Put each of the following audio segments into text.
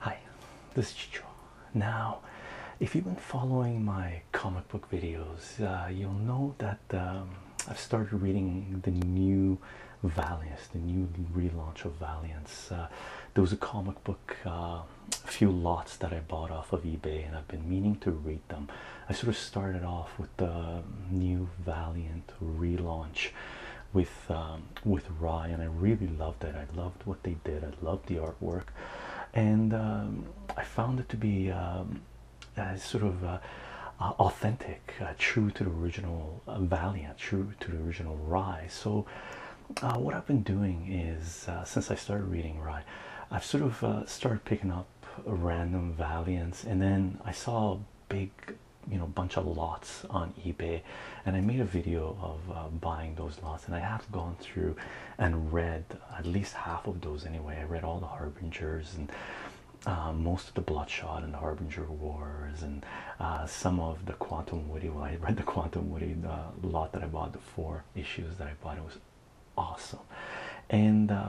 Hi, this is Chicho. Now, if you've been following my comic book videos, uh, you'll know that um, I've started reading the new Valiant, the new relaunch of Valiant. Uh, there was a comic book, uh, a few lots that I bought off of eBay, and I've been meaning to read them. I sort of started off with the new Valiant relaunch with um, with Rye, and I really loved it. I loved what they did. I loved the artwork, and um, I found it to be um, sort of uh, authentic, uh, true to the original uh, Valiant, true to the original Rye. So, what I've been doing is since I started reading Rye, I've sort of started picking up random valiance, and then I saw a big you know bunch of lots on eBay and I made a video of uh, buying those lots and I have gone through and read at least half of those anyway I read all the harbingers and uh, most of the bloodshot and the harbinger wars and uh, some of the quantum woody well I read the quantum woody the lot that I bought the four issues that I bought it was awesome and uh,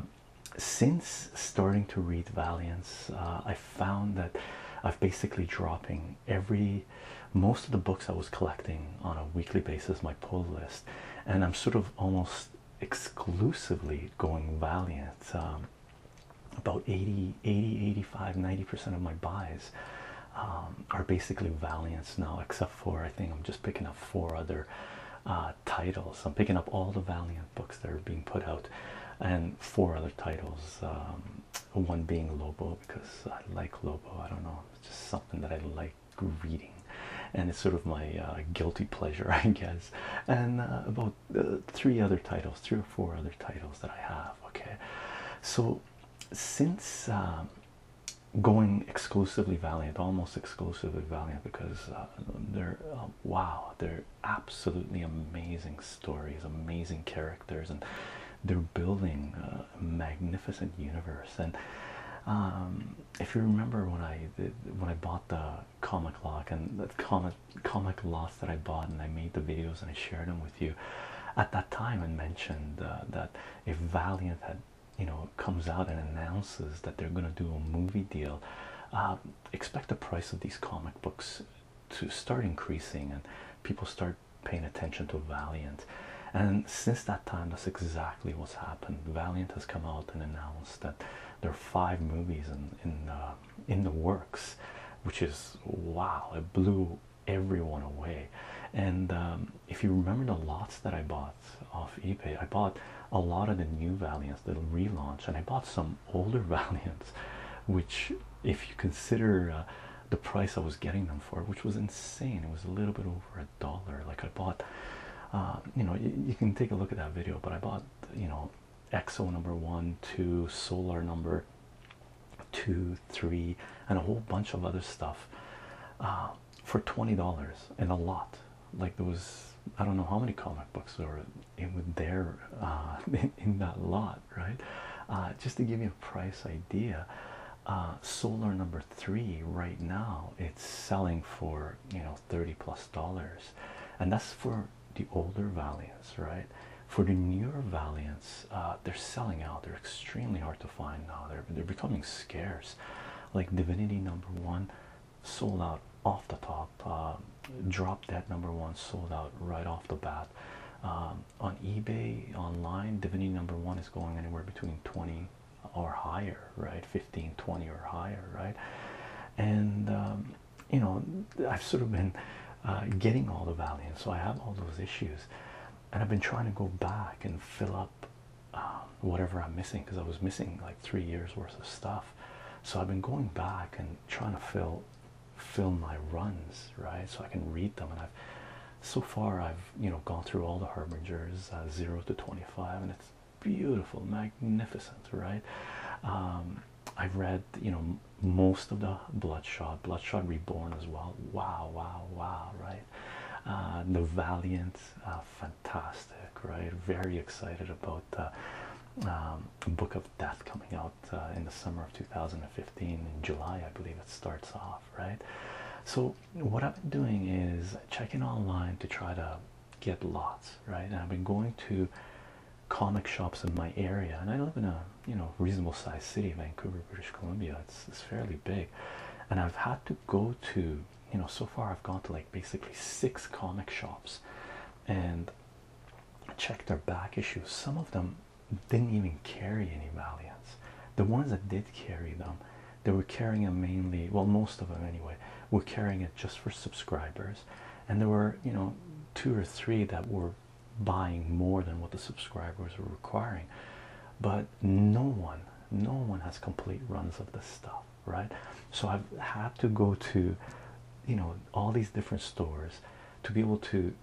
since starting to read valiance uh, i found that i've basically dropping every most of the books i was collecting on a weekly basis my pull list and i'm sort of almost exclusively going valiant um, about 80 85 90 percent of my buys um, are basically valiants now except for i think i'm just picking up four other uh, titles. I'm picking up all the Valiant books that are being put out, and four other titles. Um, one being Lobo because I like Lobo. I don't know. It's just something that I like reading, and it's sort of my uh, guilty pleasure, I guess. And uh, about three other titles, three or four other titles that I have. Okay, so since. Um, going exclusively Valiant, almost exclusively Valiant, because they're um, wow, they're absolutely amazing stories, amazing characters, and they're building a magnificent universe. And um, if you remember when I when I bought the comic lock and the comic comic lots that I bought, and I made the videos and I shared them with you at that time, I mentioned uh, that if Valiant had you know comes out and announces that they're going to do a movie deal. Uh, expect the price of these comic books to start increasing and people start paying attention to Valiant. And since that time, that's exactly what's happened. Valiant has come out and announced that there are five movies in in, uh, in the works, which is wow! It blew everyone away. And um, if you remember the lots that I bought off eBay. I bought a lot of the new Valiants, the relaunch, and I bought some older Valiants, which, if you consider uh, the price I was getting them for, which was insane, it was a little bit over a dollar. Like I bought, uh, you know, you, can take a look at that video, but I bought, you know, Exo number one, two, Solar number two, three, and a whole bunch of other stuff. Uh, for $20 and a lot like there was I don't know how many comic books were in there uh, in, that lot, right? Uh, just to give you a price idea, uh, Solar number three right now it's selling for you know thirty plus dollars, and that's for the older Valiants, right? For the newer Valiants, they're selling out. They're extremely hard to find now. They're they're becoming scarce. Like Divinity number one, sold out off the top. Uh, dropped that number one, sold out right off the bat. Um, on eBay online, Divinity number one is going anywhere between 20 or higher, right? 15, 20 or higher, right? And um, you know, I've sort of been uh, getting all the value, and so I have all those issues, and I've been trying to go back and fill up. whatever I'm missing because I was missing like three years worth of stuff so I've been going back and trying to fill film my runs, right? So I can read them. And I've so far I've you know gone through all the harbingers uh, zero to twenty-five, and it's beautiful, magnificent, right? Um, I've read you know most of the Bloodshot, Bloodshot Reborn as well. Wow, wow, wow, right? Uh, the Valiant, uh, fantastic, right? Very excited about the um, Book of Death coming out uh, in the summer of 2015. In July, I believe it starts off, right? So, what I've been doing is checking online to try to get lots, right? And I've been going to comic shops in my area, and I live in a you know reasonable sized city, Vancouver, British Columbia. It's, it's fairly big, and I've had to go to you know so far I've gone to like basically six comic shops and check their back issues, some of them didn't even carry any Valiants. The ones that did carry them, they were carrying them mainly, well, most of them anyway, were carrying it just for subscribers. And there were, you know, two or three that were buying more than what the subscribers were requiring. But no one, no one has complete runs of the stuff right? So I've had to go to, you know, all these different stores to be able to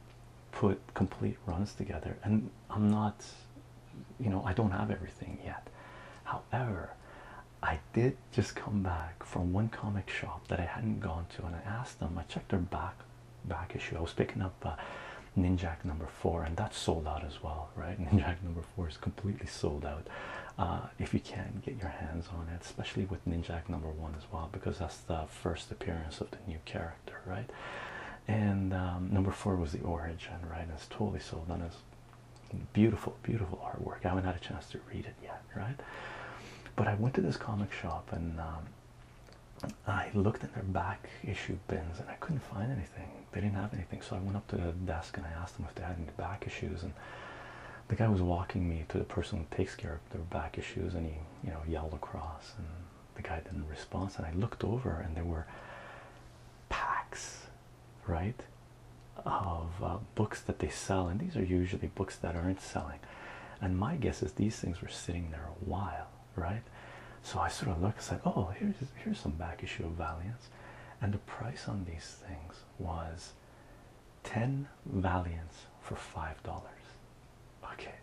put complete runs together. And I'm not, you know, I don't have everything yet. However, I did just come back from one comic shop that I hadn't gone to, and I asked them. I checked their back back issue. I was picking up uh, Ninjak number four, and that sold out as well, right? Ninjak number was completely sold out. Uh, if you can get your hands on it, especially with Ninjak number one as well, because that's the first appearance of the new character, right? And um, number four was the origin, right? And it's totally sold out. It's beautiful, beautiful artwork. I haven't had a chance to read it yet, right? But I went to this comic shop and um, I looked in their back issue bins and I couldn't find anything. They didn't have anything, so I went up to the desk and I asked them if they had any back issues, the guy was walking me to the person who takes care of their back issues, and he, you know, yelled across, and the guy didn't respond. And I looked over, and there were packs, right, of uh, books that they sell, and these are usually books that aren't selling. And my guess is these things were sitting there a while, right? So I sort of looked and said, "Oh, here's here's some back issue of Valiant," and the price on these things was 10 Valiants for $5. Okay,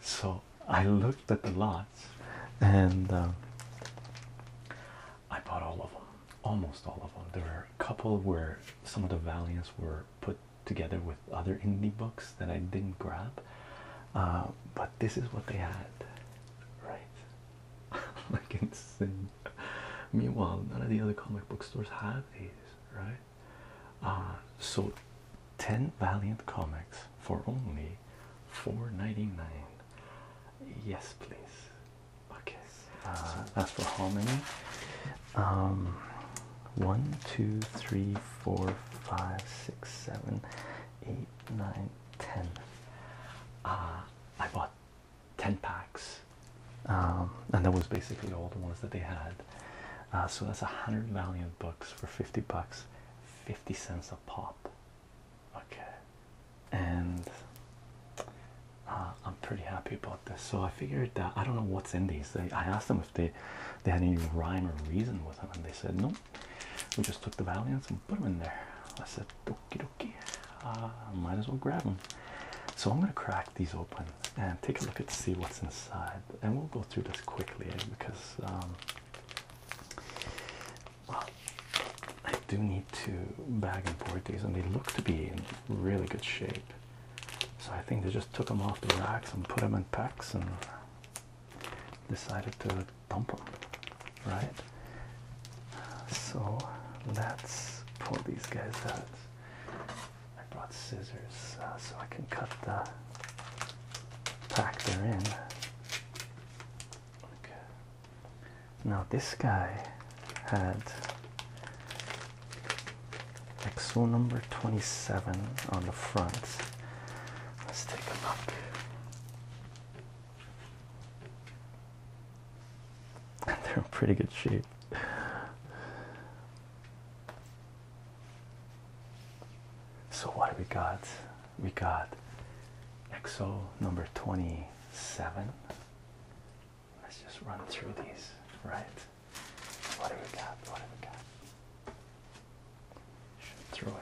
so I looked at the lots and um, I bought all of them, almost all of them. There were a couple where some of the Valiants were put together with other indie books that I didn't grab, uh, but this is what they had, right? like insane. Meanwhile, none of the other comic book stores have these, right? Uh, so 10 Valiant comics for only four ninety nine. Yes, please. Okay. Uh, that's for how many? Um, one, two, three, four, five, six, seven, eight, nine, ten. Ah, I bought 10 packs um, and that was basically all the ones that they had uh, so that's a hundred valiant books for 50 bucks 50 cents a pop okay and uh, I'm pretty happy about this so I figured that I don't know what's in these I asked them if they they had any rhyme or reason with them and they said no we just took the valiants and put them in there I said okay dokie. Uh, might as well grab them. So I'm going to crack these open and take a look and see what's inside, and we'll go through this quickly eh, because um, I do need to bag and board these, and they look to be in really good shape. So I think they just took them off the racks and put them in packs and decided to dump them, right? So let's pull these guys out. I brought scissors uh, so I can cut the pack There in. Okay. Now this guy had XO number 27 on the front. Let's take a look. They're in pretty good shape. So what do we got? We got XO number 27. Let's just run through these, right? What do we got? What do we got? Shoot through it.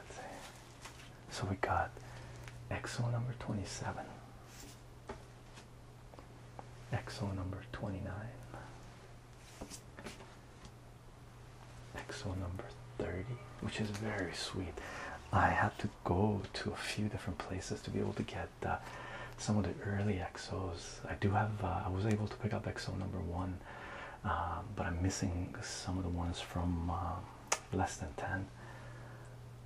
So we got XO number 27. Exo number 29. Exo number 30, which is very sweet. I had to go to a few different places to be able to get uh, some of the early exos. I do have, uh, I was able to pick up exo number one, um, but I'm missing some of the ones from um, less than 10.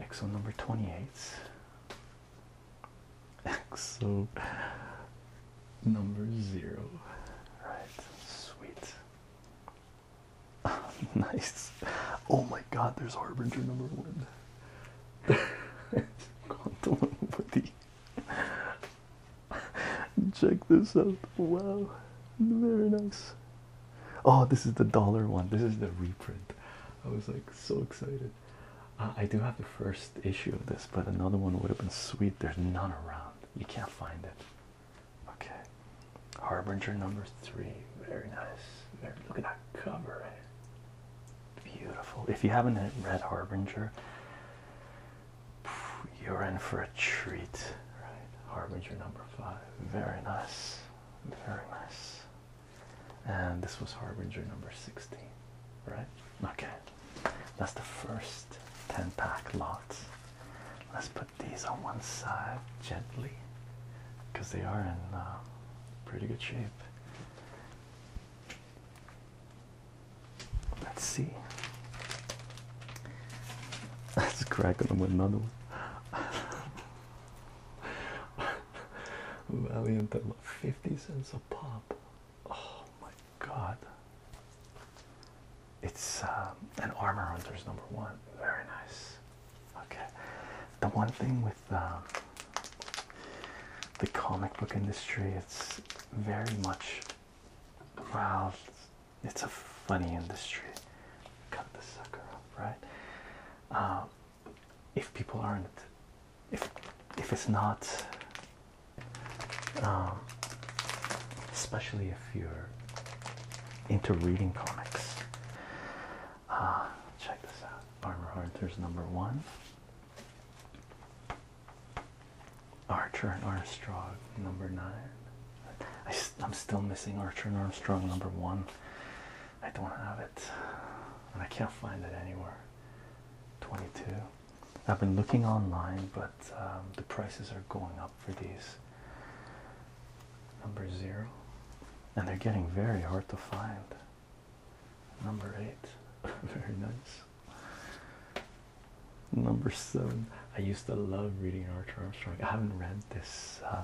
Exo number 28. XO number zero. Right, sweet. nice. Oh my god, there's Harbinger number one. Quantum Woody. Check this out. Wow. Very nice. Oh, this is the dollar one. This is the reprint. I was like so excited. Uh, I do have the first issue of this, but another one would have been sweet. There's none around. You can't find it. Okay. Harbinger number three. Very nice. look at that cover. Beautiful. If you haven't read Harbinger, you're in for a treat. Right. Harbinger number five. Very nice. Very nice and this was harbinger number 16 right okay that's the first 10 pack lot. let's put these on one side gently because they are in uh, pretty good shape let's see let's crack on another one Valiant 50 cents a pop. Oh my god. It's um, an Armor Hunters number one. Very nice. Okay. The one thing with um, the comic book industry, it's very much, wow, it's a funny industry. Cut the sucker up, right? Um, if people aren't if if it's not um, especially if you're into reading comics uh, check this out armor hunters number one archer and armstrong number nine i'm still missing archer and armstrong number one I don't have it, and I can't find it anywhere. 22. I've been looking online, but um, the prices are going up for these. Number zero, and they're getting very hard to find. Number eight, very nice. Number seven, I used to love reading Arthur Armstrong. I haven't read this uh,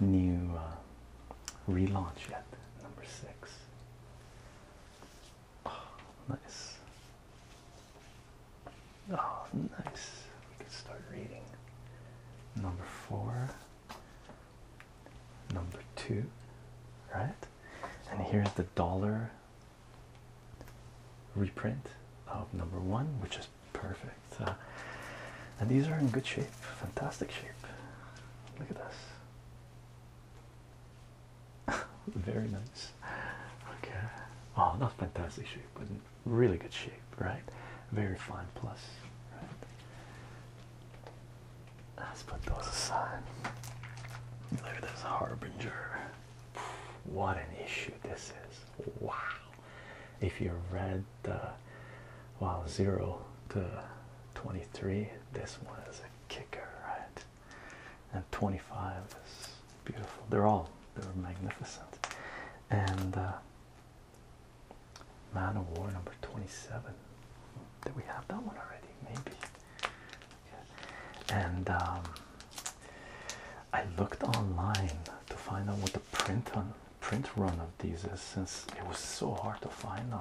new uh, relaunch yet. Number six, Oh, nice. Oh, nice. We can start reading. Number four, number two, right? And here's the dollar reprint of number one, which is perfect. Uh, and these are in good shape, fantastic shape. Look at this. Very nice. Okay. Oh, not fantastic shape, but really good shape, right? Very fine plus. Let's put those aside. Look at this harbinger. What an issue this is. Wow. If you read the uh, wow zero to 23 this one is a kicker, right? And 25 is beautiful. They're all they're magnificent. And uh, Man of War number 27. Did we have that one already? Maybe. And um, I looked online to find out what the print on print run of these is, since it was so hard to find them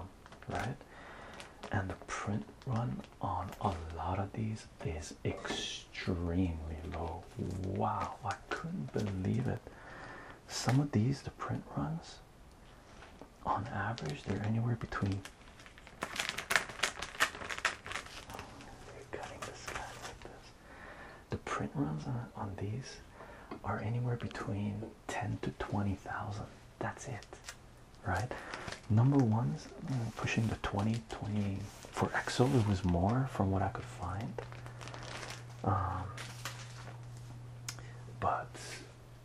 right? And the print run on a lot of these is extremely low. Wow, I couldn't believe it. Some of these, the print runs on average, they're anywhere between. cutting this guy like this. The print runs on, on these are anywhere between 10 to 20,000. That's it, right? Number ones mm, pushing the 20, 20 for EXO, it was more from what I could find. Um, but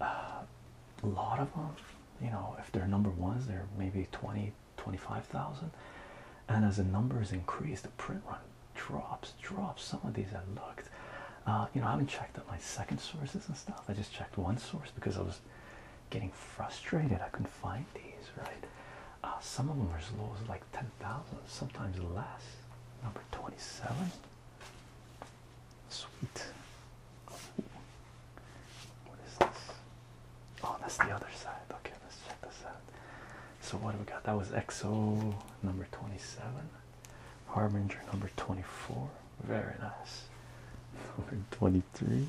uh, a lot of them, you know, if they're number ones, they're maybe 20, 25,000. And as the numbers increase, the print run drops, drops. Some of these I looked uh, you know, I haven't checked out my second sources and stuff. I just checked one source because I was getting frustrated. I couldn't find these, right? Uh, some of them are as low as like 10,000, sometimes less. Number 27. Sweet. What is this? Oh, that's the other side. Okay, let's check this out. So, what do we got? That was XO number 27. Harbinger number 24. Very nice. Number 23.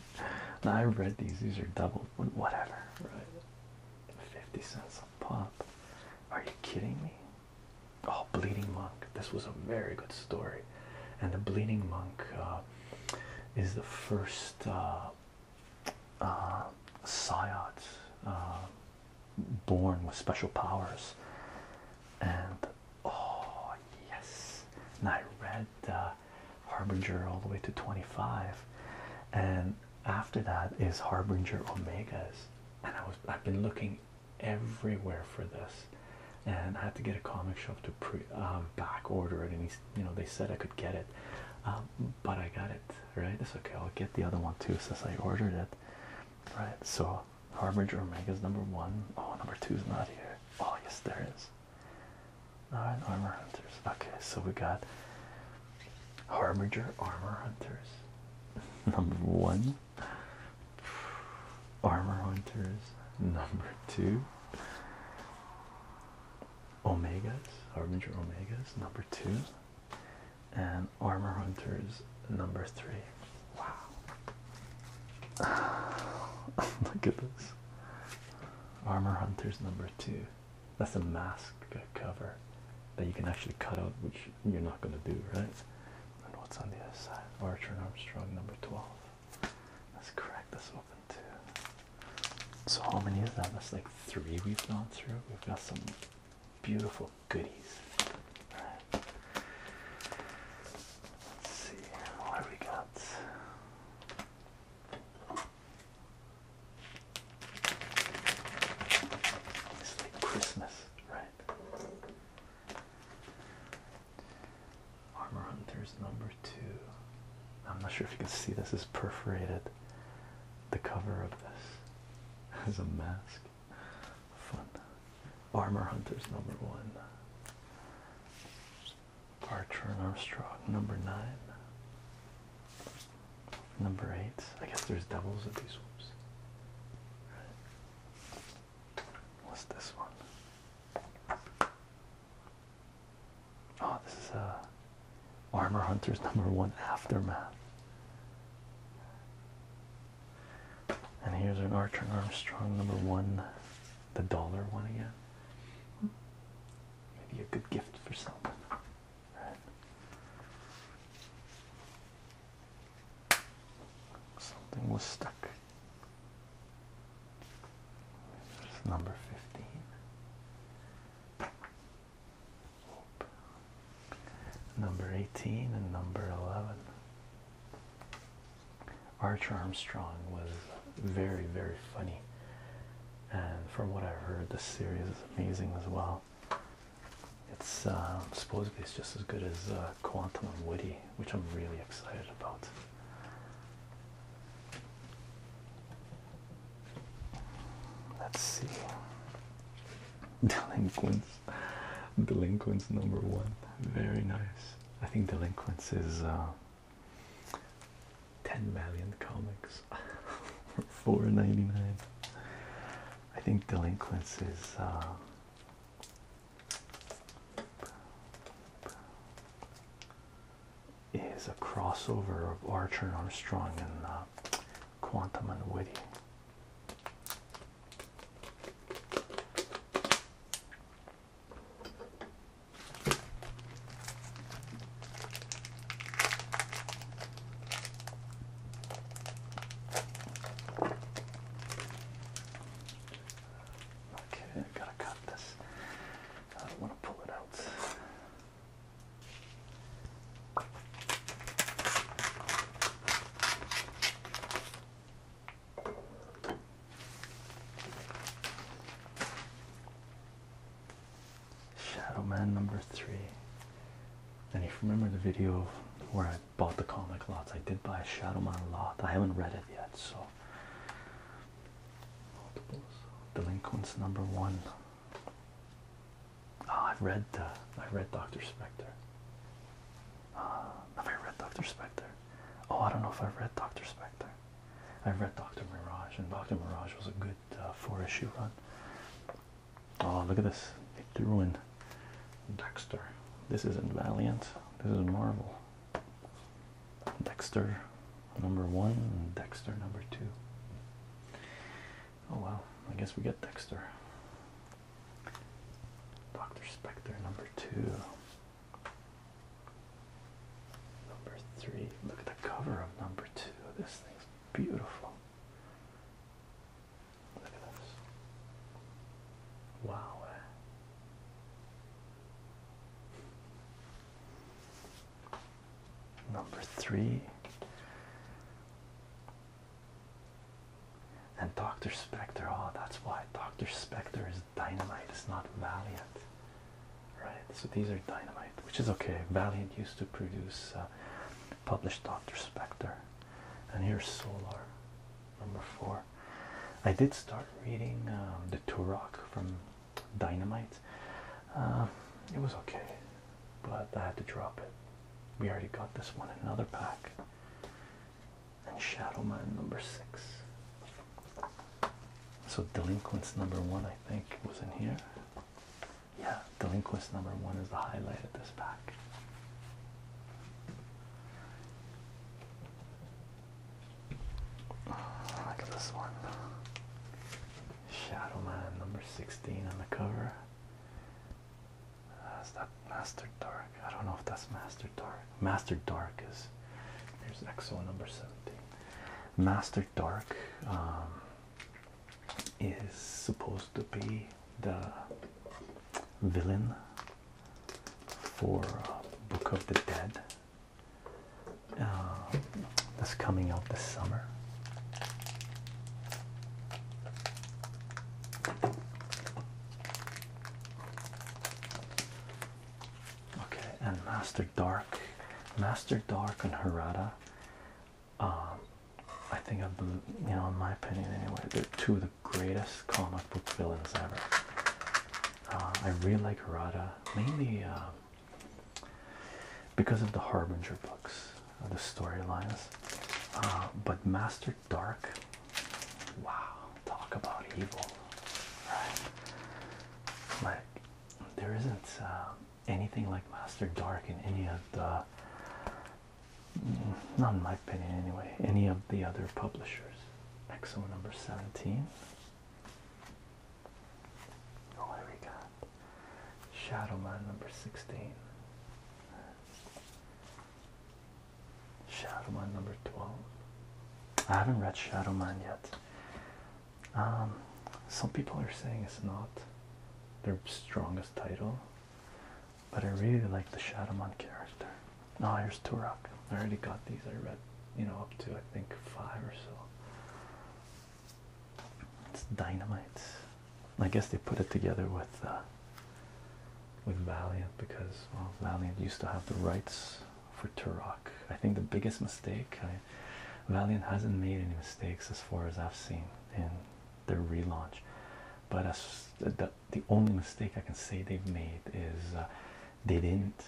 Now I read these, these are double, whatever, right? 50 cents a pop. Are you kidding me? Oh, Bleeding Monk. This was a very good story. And the Bleeding Monk uh, is the first uh, uh, uh born with special powers. And oh, yes, and I read uh, Harbinger all the way to 25, and after that is Harbinger Omegas. And I was I've been looking everywhere for this, and I had to get a comic shop to pre um, back order it. And he, you know, they said I could get it, um, but I got it right. It's okay, I'll get the other one too since I ordered it, right? So Harbinger Omegas number one. Oh, number two is not here. Oh, yes, there is. Alright, Armor Hunters. Okay, so we got Harbinger Armor Hunters, number one. Armor Hunters, number two. Omegas, Harbinger Omegas, number two. And Armor Hunters, number three. Wow. Look at this. Armor Hunters number two. That's a mask cover that you can actually cut out, which you're not going to do, right? And what's on the other side? Archer and Armstrong number 12. Let's crack this open too. So, how many is that? That's like three we've gone through. We've got some beautiful goodies. right. Let's see what we got. It's like Christmas, right? Armor Hunters number two. I'm not sure if you can see this is perforated. The cover of this has a mask. Fun. Armor Hunters, number one. Archer and Armstrong, number nine. Number eight. I guess there's doubles at these whoops. What's this one? Oh, this is uh, Armor Hunters number one aftermath. And here's an Archer Armstrong number one, the dollar one again. Maybe a good gift for someone. Something was stuck. There's number 15. Number 18 and number 11. Archer Armstrong was very, very funny, and from what I've heard, this series is amazing as well. It's uh, supposedly it's just as good as uh, Quantum and Woody, which I'm really excited about. Let's see. Delinquent Delinquents number one. Very nice. I think Delinquents is uh, 10 million comics for 4.99. I think Delinquents is. Uh, is a crossover of Archer and Armstrong and uh, Quantum and Witty. Okay, I've got to cut this. I don't want to pull it out. Shadow Man number three. And if you remember the video where I bought the comic lots, I did buy a Shadow Man lot. I haven't read it yet, so Delinquents number one. Ah, I've read uh, I read Doctor Spectre. Uh, have I read Dr. Spectre? Oh, I don't know if I've read Dr. Spectre. read Dr. Mirage, and Dr. Mirage was a good uh, four issue run. Oh, look at this. They threw in Dexter. This isn't Valiant, this is Marvel. Dexter number one, Dexter number two. Oh, well, I guess we get Dexter. Dr. Spector number two. Number three. Look at the cover of number two. This thing's beautiful. Look at this. Wow. Number three. And Dr. Spectre, oh, that's why Dr. Spectre is dynamite, it's not Valiant, right? So these are dynamite, which is okay. Valiant used to produce, uh, publish Dr. Spectre, and here's Solar, number four. I did start reading um, the Turok from Dynamite, uh, it was okay, but I had to drop it. We already got this one in another pack and Shadow Man number six. So delinquents number one, I think, was in here. Yeah, delinquents number one is the highlight of this pack. Look at this one. Shadow Man number 16 on the cover. That's uh, that Master Dark? I don't know if that's Master Dark. Master Dark is here's XO number 17. Master Dark um, is supposed to be the villain for uh, Book of the Dead um, that's coming out this summer. Okay, and Master Dark, Master Dark, and Harada. Um, I think I believe, you know, in my opinion, anyway, they're two of the greatest comic book villains ever. Uh, I really like Harada mainly uh, because of the Harbinger books, uh, the storylines. but Master Dark. Wow, talk about evil, right? Like, there isn't uh, anything like Master Dark in any of the, mm, not in my opinion anyway, any of the other publishers. Exo number 17. Oh, what we got? Shadowman number 16. Shadowman number 12. I haven't read Shadowman yet. Um, some people are saying it's not their strongest title, but I really like the Shadowman character. Now, oh, here's Turok. I already got these. I read, you know, up to I think five or so. It's dynamite. I guess they put it together with uh, with Valiant because well, Valiant used to have the rights for Turok. I think the biggest mistake Valiant hasn't made any mistakes as far as I've seen in the relaunch, but the, only mistake I can say they've made is uh, they didn't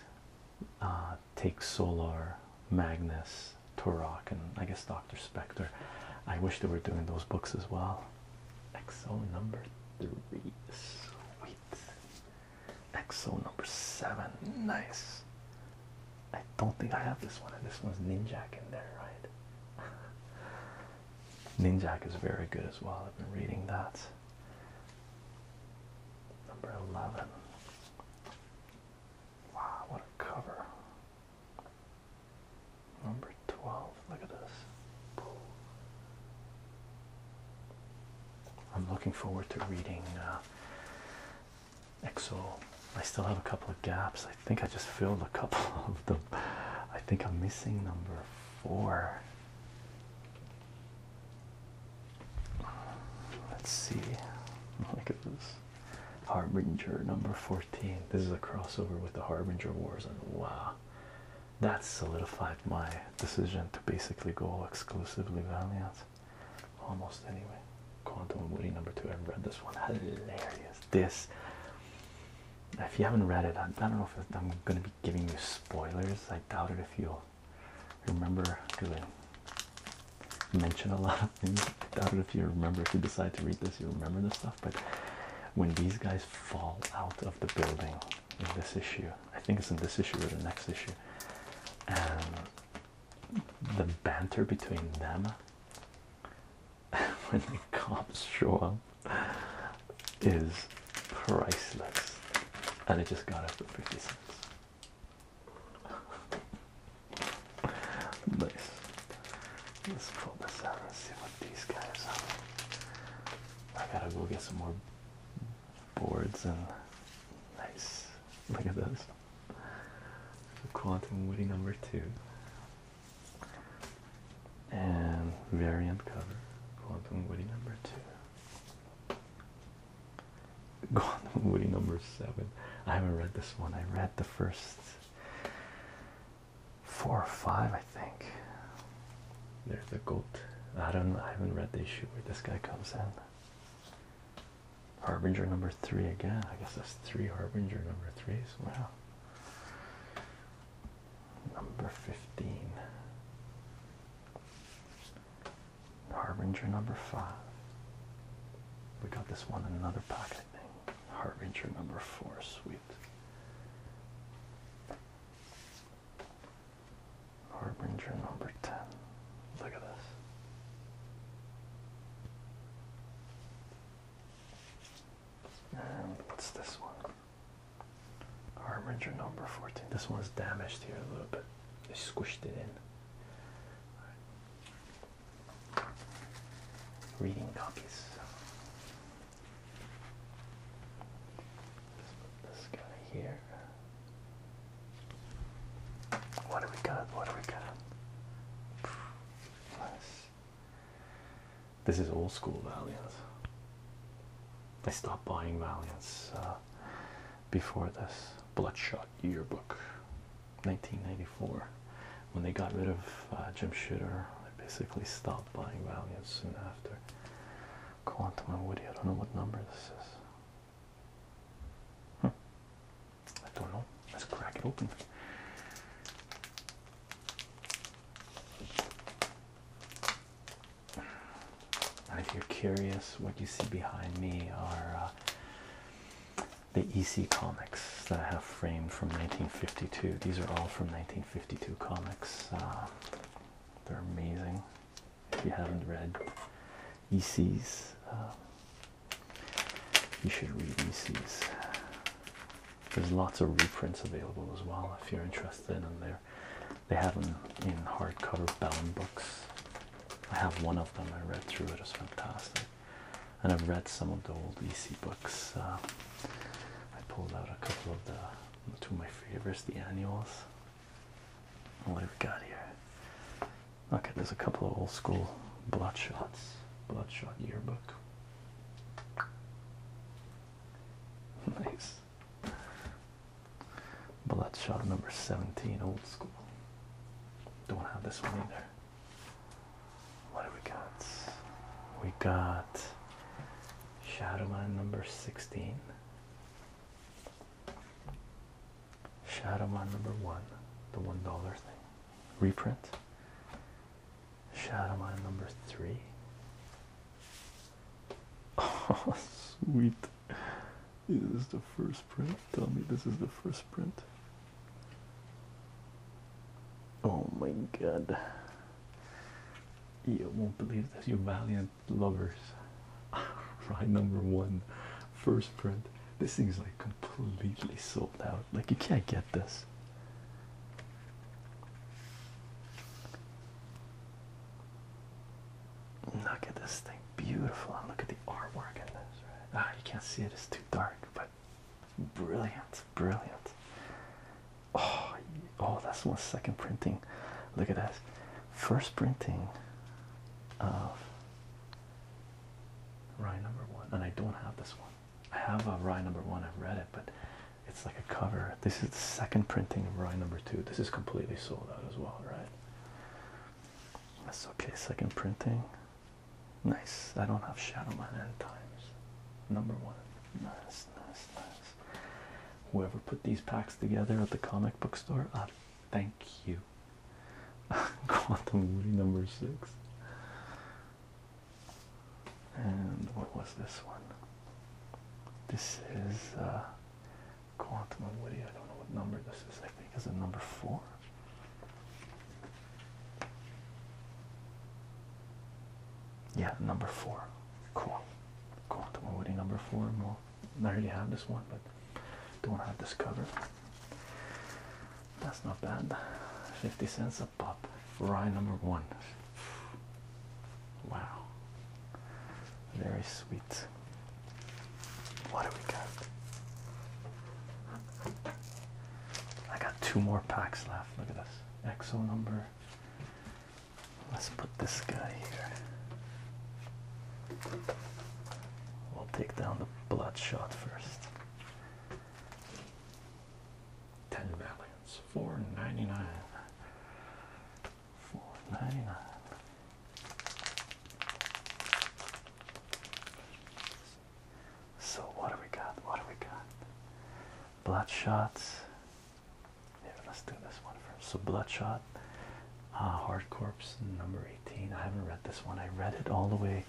uh, take Solar, Magnus, Turok, and I guess Doctor Spectre. I wish they were doing those books as well. EXO number three, sweet. EXO number seven, nice. I don't think I have this one, and this one's Ninjak in there, right? Ninjak is very good as well. I've been reading that. Number 11. Wow, what a cover. Number 12. Look at this. I'm looking forward to reading uh, Exo. I still have a couple of gaps. I think I just filled a couple of them. I think I'm missing number four. Let's see. Look at this. Harbinger number 14. This is a crossover with the Harbinger Wars, and wow, that solidified my decision to basically go exclusively Valiant almost anyway. Quantum Woody number two. I've read this one. Hilarious. This, if you haven't read it, I, don't know if I'm going to be giving you spoilers. I doubt it if you'll remember because I mention a lot of things. I doubt it if you remember. If you decide to read this, you remember this stuff. But when these guys fall out of the building this issue. I think it's in this issue or the next issue. And um, the banter between them when the cops show up is priceless. And it just got up to 50 cents. nice. Let's pull this out and see what these guys are. I gotta go get some more boards and nice. Look at this. Quantum Woody number two. And variant cover. Quantum Woody number two. Quantum Woody number seven. I haven't read this one. I read the first four or five, I think. There's the goat. I don't. I haven't read the issue where this guy comes in. Harbinger number three again. I guess that's three Harbinger number threes. Wow. Number fifteen. Harbinger number five. We got this one in another pocket thing. Harbinger number four. Sweet. Harbinger number 10. Look at this. And what's this one? Harbinger number 14. This one's damaged here a little bit. They squished it in. Reading copies. This guy here. What do we got? What do we got? Nice. This is old school Valiant. They stopped buying Valiants uh, before this Bloodshot yearbook, 1994. When they got rid of uh, Jim Shooter, They basically stopped buying Valiant soon after on to my Woody. I don't know what number this is. Hmm. I don't know. Let's crack it open. if you're curious, what you see behind me are uh, the EC comics that I have framed from 1952. These are all from 1952 comics. Uh, they're amazing. If you haven't read ECs, um, you should read ECs. There's lots of reprints available as well if you're interested in there. They have them in hardcover bound books. I have one of them. I read through it. It's fantastic. And I've read some of the old EC books. Uh, I pulled out a couple of the Two of my favorites, the annuals. What have we got here? Okay, there's a couple of old school Bloodshots, Bloodshot yearbook. Nice. Bloodshot number 17, old school. Don't have this one either. What do we got? We got Shadowman number 16. Shadowman number one, the one dollar thing, reprint. Shadowman number three. Oh, sweet. Is this the first print? Tell me this is the first print. Oh my god. You won't believe this. You Valiant lovers. Right, number one, first print. This thing's like completely sold out. Like you can't get this. Look at this thing, beautiful. look at the artwork in this. Ah, you can't see it; it's too dark, but brilliant, brilliant. Oh, oh, that's one second printing. Look at this. First printing of Rye number one. And I don't have this one. I have a Rye number one. I've read it, but it's like a cover. This is the second printing of Rye number two. This is completely sold out as well, right? That's okay. Second printing. Nice. I don't have Shadowman end times. Number one. Nice, nice, nice whoever put these packs together at the comic book store uh, thank you quantum movie number six and what was this one this is uh, quantum and woody i don't know what number this is i think is a number four yeah number four cool Quantum Woody number four. Well, I already have this one, but don't have this cover. That's not bad. 50 cents a pop. Rye number one. Wow. Very sweet. What do we got? I got two more packs left. Look at this. Exo number Let's put this guy here. We'll take down the bloodshot first. 10 valiants, 499. 499. So what do we got? What do we got? Bloodshots, let's do this one first. So, Bloodshot, uh, Hard Corps number 18. I haven't read this one. I read it all the way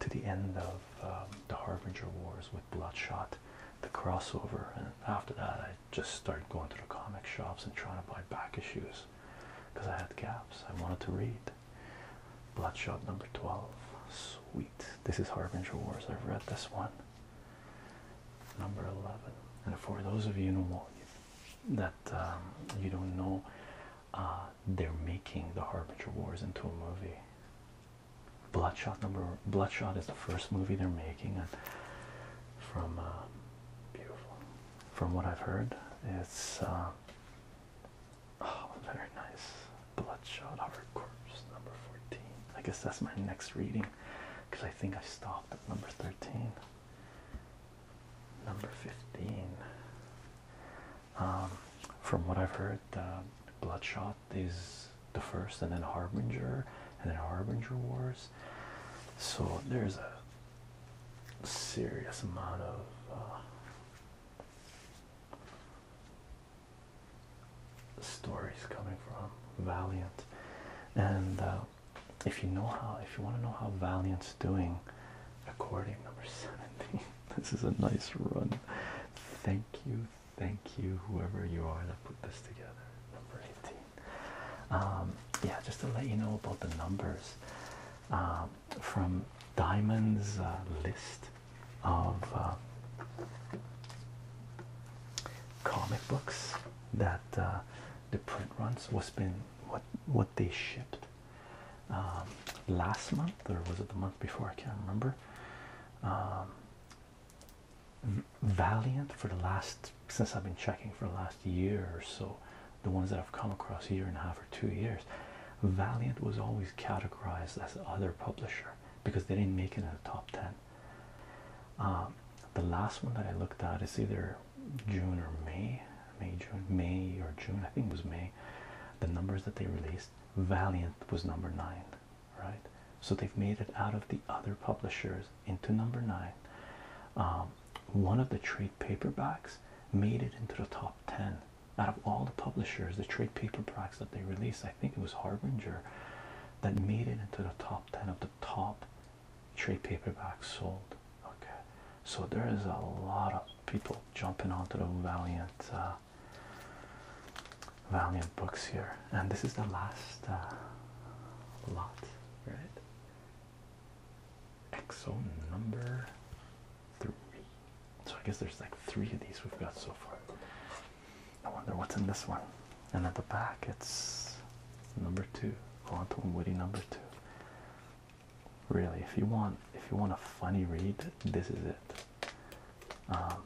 to the end of um, the Harbinger Wars with Bloodshot, the crossover. And after that, I just started going to the comic shops and trying to buy back issues because I had gaps. I wanted to read. Bloodshot number 12. Sweet. This is Harbinger Wars. I've read this one number 11 and for those of you know that um, you don't know uh, they're making the harbinger wars into a movie bloodshot number bloodshot is the first movie they're making and from uh, beautiful from what i've heard it's uh, oh very nice bloodshot hard corpse number 14 i guess that's my next reading because i think i stopped number 13 number 15 um, from what I've heard uh, Bloodshot is the first and then Harbinger and then Harbinger Wars so there's a serious amount of uh, stories coming from Valiant, and uh, if you know how, if you want to know how Valiant's doing, accordion number seventeen. This is a nice run. Thank you, thank you, whoever you are that put this together. Number eighteen. Um, yeah, just to let you know about the numbers um, from Diamond's uh, list of uh, comic books that uh, the print runs what been what what they shipped um, last month or was it the month before I can't remember um, Valiant for the last since I've been checking for the last year or so the ones that I've come across a year and a half or two years Valiant was always categorized as other publisher because they didn't make it in the top 10 um, the last one that I looked at is either June or May, May, June, May or June. I think it was May. The numbers that they released, Valiant was number nine, right? So they've made it out of the other publishers into number nine. Um, one of the trade paperbacks made it into the top 10 out of all the publishers, the trade paperbacks that they released. I think it was Harbinger that made it into the top 10 of the top trade paperback sold. Okay, so there is a lot of people jumping onto the Valiant uh, Valiant books here, and this is the last uh, lot, right? Exo number three. So I guess there's like three of these we've got so far. I wonder what's in this one. And at the back, it's number two, Go Quantum Woody number two. Really, if you want, if you want a funny read, this is it. Um,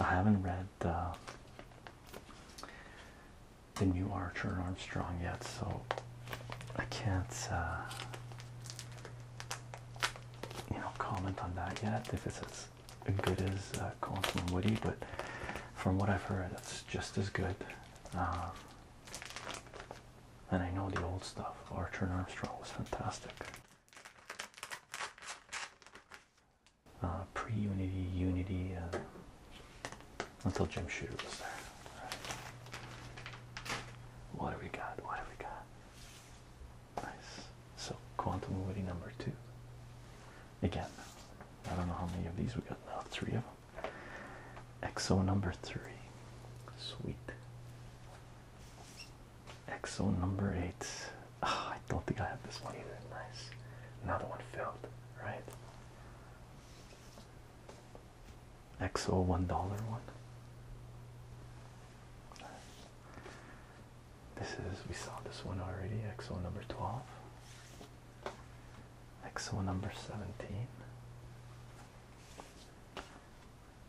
I haven't read uh, the new Archer Armstrong yet, so I can't, uh, you know, comment on that yet. If it's as good as uh, Quantum Woody, but from what I've heard, it's just as good. Um, and I know the old stuff. Archer and Armstrong was fantastic. Uh, Pre Unity, Unity, until Jim Shooter was there. What do we got? What do we got? Nice. So, Quantum Woody number two again. I don't know how many of these we got Three of them. XO number three. Sweet. XO number eight. Ah, I don't think I have this one either. Nice. Another one filled, right? XO one dollar one. This is we saw this one already. XO number twelve. XO number 17.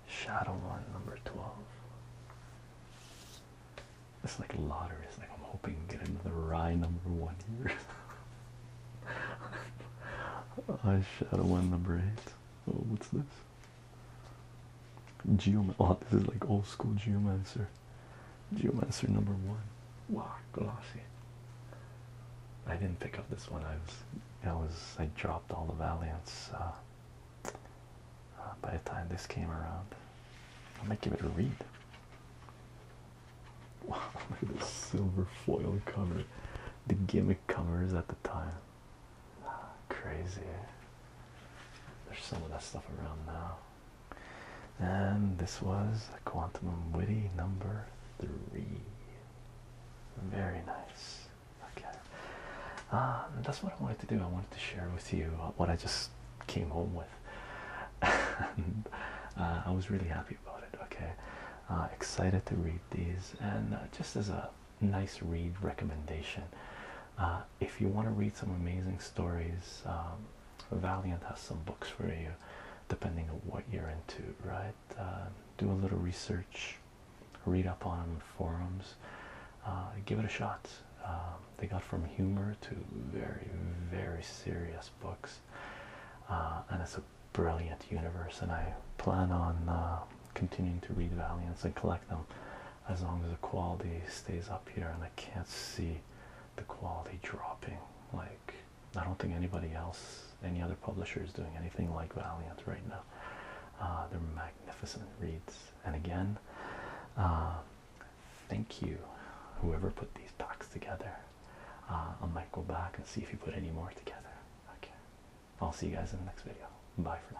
Shadow one number 12. It's like lottery. It's like I'm hoping to get into the Rye number one here. I one number eight. Oh, what's this? Geoman. Oh, this is like old school geomancer. Geomancer number one. Wow, glossy. I didn't pick up this one. I was, I was, I dropped all the Valiants uh, uh, by the time this came around. I might give it a read. Wow, look at this silver foil cover. The gimmick covers at the time. Ah, crazy. There's some of that stuff around now. And this was a quantum witty number three. Very nice. Okay. Uh, that's what I wanted to do. I wanted to share with you what I just came home with. Uh, I was really happy about it. Okay. Uh, excited to read these. And just as a nice read recommendation, if you want to read some amazing stories, um, Valiant has some books for you, depending on what you're into, right? Uh, do a little research, read up on forums, uh, give it a shot. Um, they got from humor to very, very serious books, uh, and it's a brilliant universe. And I plan on continuing to read Valiants and collect them as long as the quality stays up here, and I can't see the quality dropping like, I don't think anybody else, any other publisher, is doing anything like Valiant right now. Uh, they're magnificent reads. And again, uh, thank you, whoever put these packs together. Uh, I might go back and see if you put any more together. Okay. I'll see you guys in the next video. Bye for now.